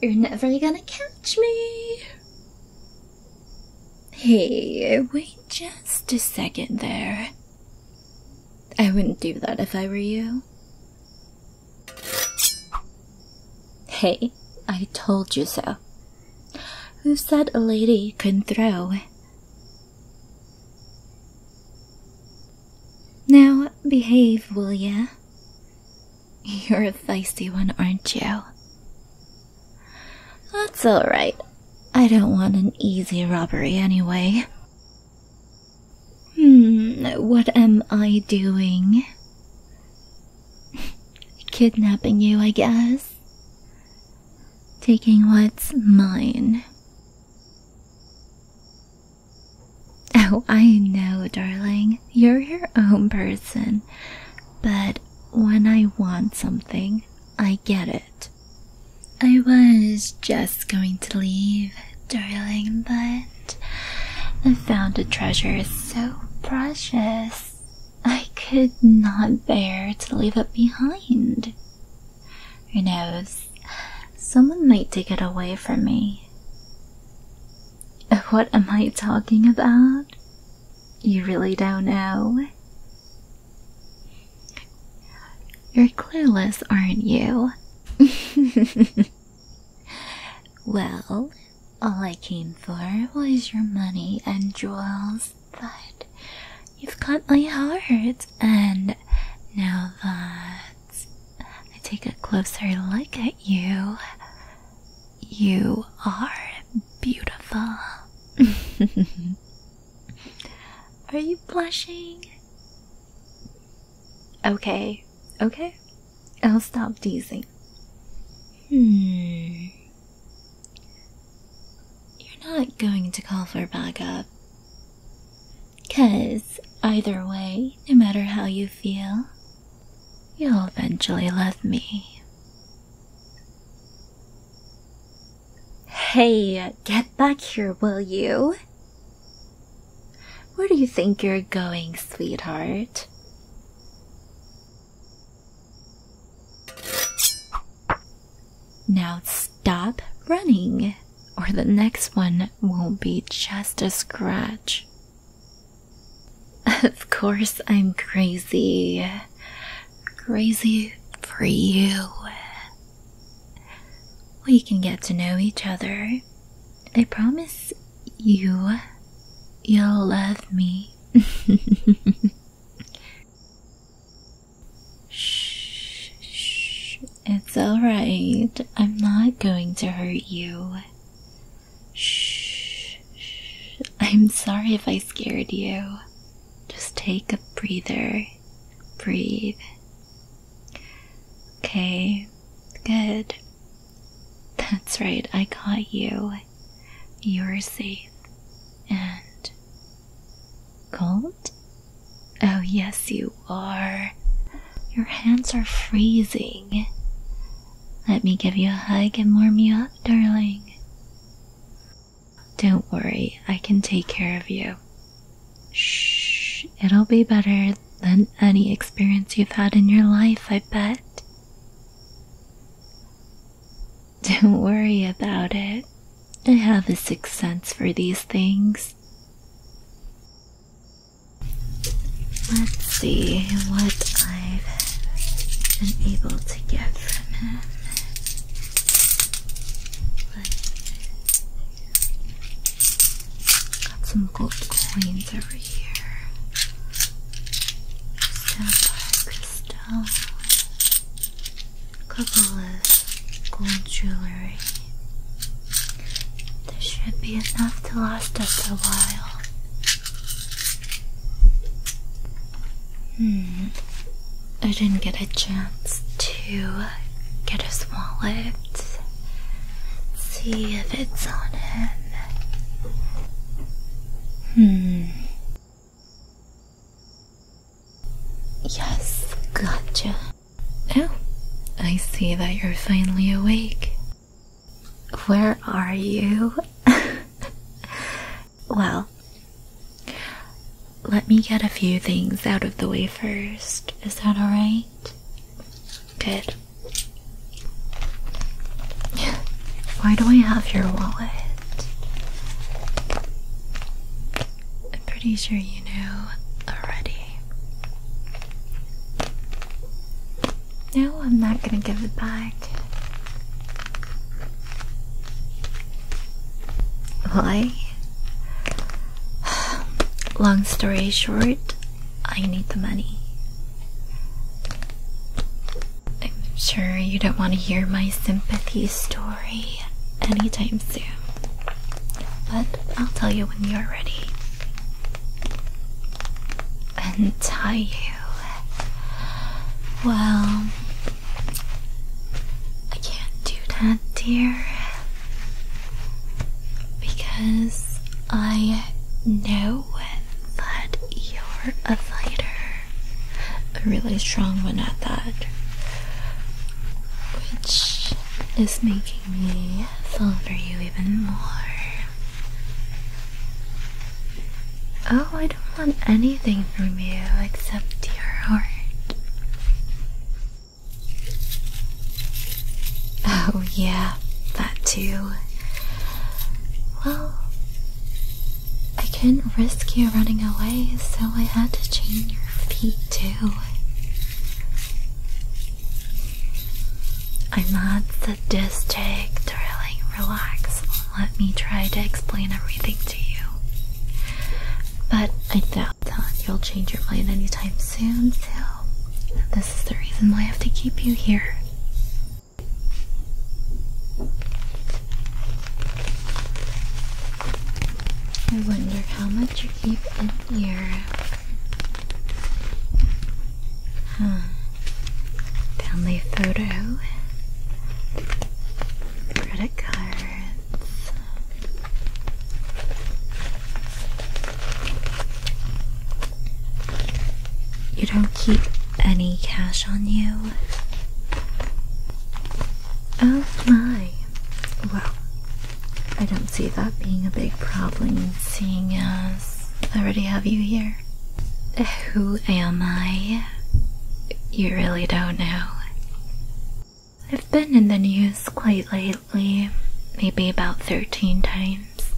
You're never gonna catch me. Hey, wait just a second there. I wouldn't do that if I were you. Hey, I told you so. Who said a lady couldn't throw? Now behave, will ya? You're a feisty one, aren't you? That's alright. I don't want an easy robbery anyway. Hmm, what am I doing? Kidnapping you, I guess. Taking what's mine. Oh, I know, darling, you're your own person, but when I want something, I get it. I was just going to leave, darling, but I found a treasure so precious I could not bear to leave it behind. Who knows? Someone might take it away from me. What am I talking about? You really don't know. You're clueless, aren't you? well, all I came for was your money and jewels, but you've got my heart, and now that I take a closer look at you. You are beautiful. are you blushing? Okay, okay. I'll stop teasing. Hmm. You're not going to call for backup. Cause either way, no matter how you feel, you'll eventually love me. Hey, get back here, will you? Where do you think you're going, sweetheart? Now stop running or the next one won't be just a scratch. Of course, I'm crazy. Crazy for you. We can get to know each other. I promise you, you'll love me. shh, it's alright. I'm not going to hurt you. Shh. I'm sorry if I scared you. Just take a breather. Breathe. Okay, good. That's right, I got you. You're safe. And. Cold? Oh, yes, you you are. Your hands are freezing. Let me give you a hug and warm you up, darling. Don't worry, I can take care of you. Shh, it'll be better than any experience you've had in your life, I bet. Don't worry about it. I have a sixth sense for these things. Let's see what I've been able to get from him. Got some gold coins over here. Sapphire crystal. Couple of gold jewelry. There should be enough to last us a while. Hmm. I didn't get a chance to get his wallet. see if it's on him. Hmm. Yes, gotcha. Oh, I see that you're finally awake. Where are you? well, let me get a few things out of the way first. Is that alright? Good. Why do I have your wallet? I'm pretty sure you know already. No, I'm not going to give it back. Why? Long story short, I need the money. I'm sure you don't want to hear my sympathy story anytime soon. But I'll tell you when you're ready and tell you, well, I can't do that, dear, because I know that you're a fighter, a really strong one at that, which is making me vulgar you even more. Oh, I don't want anything from you except your heart. Oh, yeah, that too. Well, I couldn't risk you running away, so I had to chain your feet too. I'm not sadistic, darling. Relax. Let me try to explain everything to you. But I doubt that you'll change your mind anytime soon, so this is the reason why I have to keep you here. I wonder how much you keep in here. Family hmm. photo. Credit cards. You don't keep any cash on you? Oh my. Well, I don't see that being a big problem, seeing as I already have you here. Who am I? You really don't know. I've been in the news quite lately, maybe about 13 times.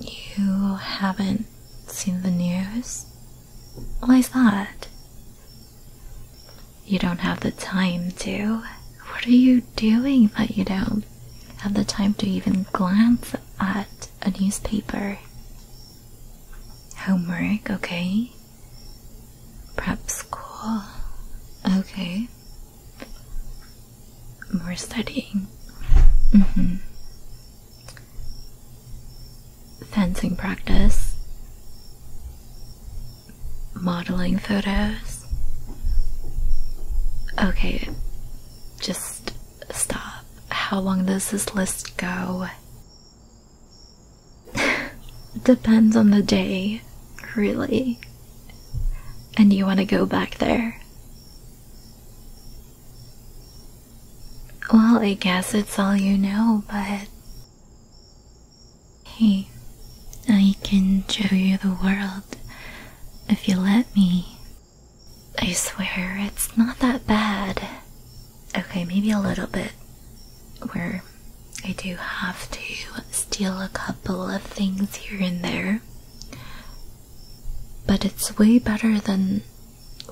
You haven't seen the news? Why's that? You don't have the time to. What are you doing that you don't have the time to even glance at a newspaper? Homework, okay? Prep school, okay? More studying. Mm hmm. Fencing practice modeling photos. Okay, just stop. How long does this list go? Depends on the day, really. And you want to go back there? Well, I guess it's all you know, but Hey, I can show you the world if you let me. I swear, it's not that bad. Okay, maybe a little bit. Where I do have to steal a couple of things here and there. But it's way better than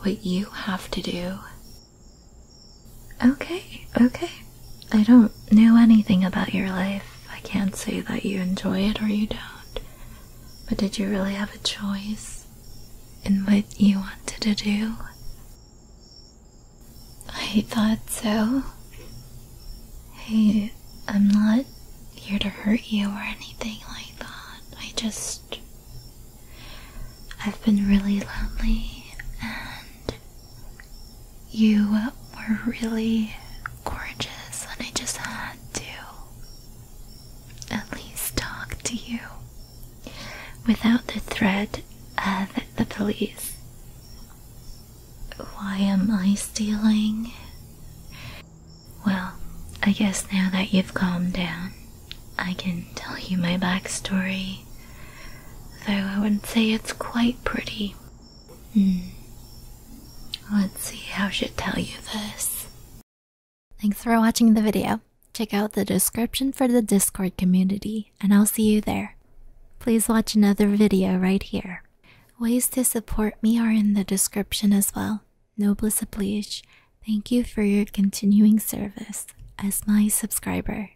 what you have to do. Okay, okay. I don't know anything about your life. I can't say that you enjoy it or you don't. But did you really have a choice in what you wanted to do? I thought so. Hey, I'm not here to hurt you or anything like that. I just. I've been really lonely and you were really gorgeous, and I just had to at least talk to you. Without the threat of the police. Why am I stealing? Well, I guess now that you've calmed down, I can tell you my backstory though I wouldn't say it's quite pretty. Hmm. Let's see how she'll tell you this. Thanks for watching the video. Check out the description for the Discord community, and I'll see you there. Please watch another video right here. Ways to support me are in the description as well. Noblesse oblige, thank you for your continuing service as my subscriber.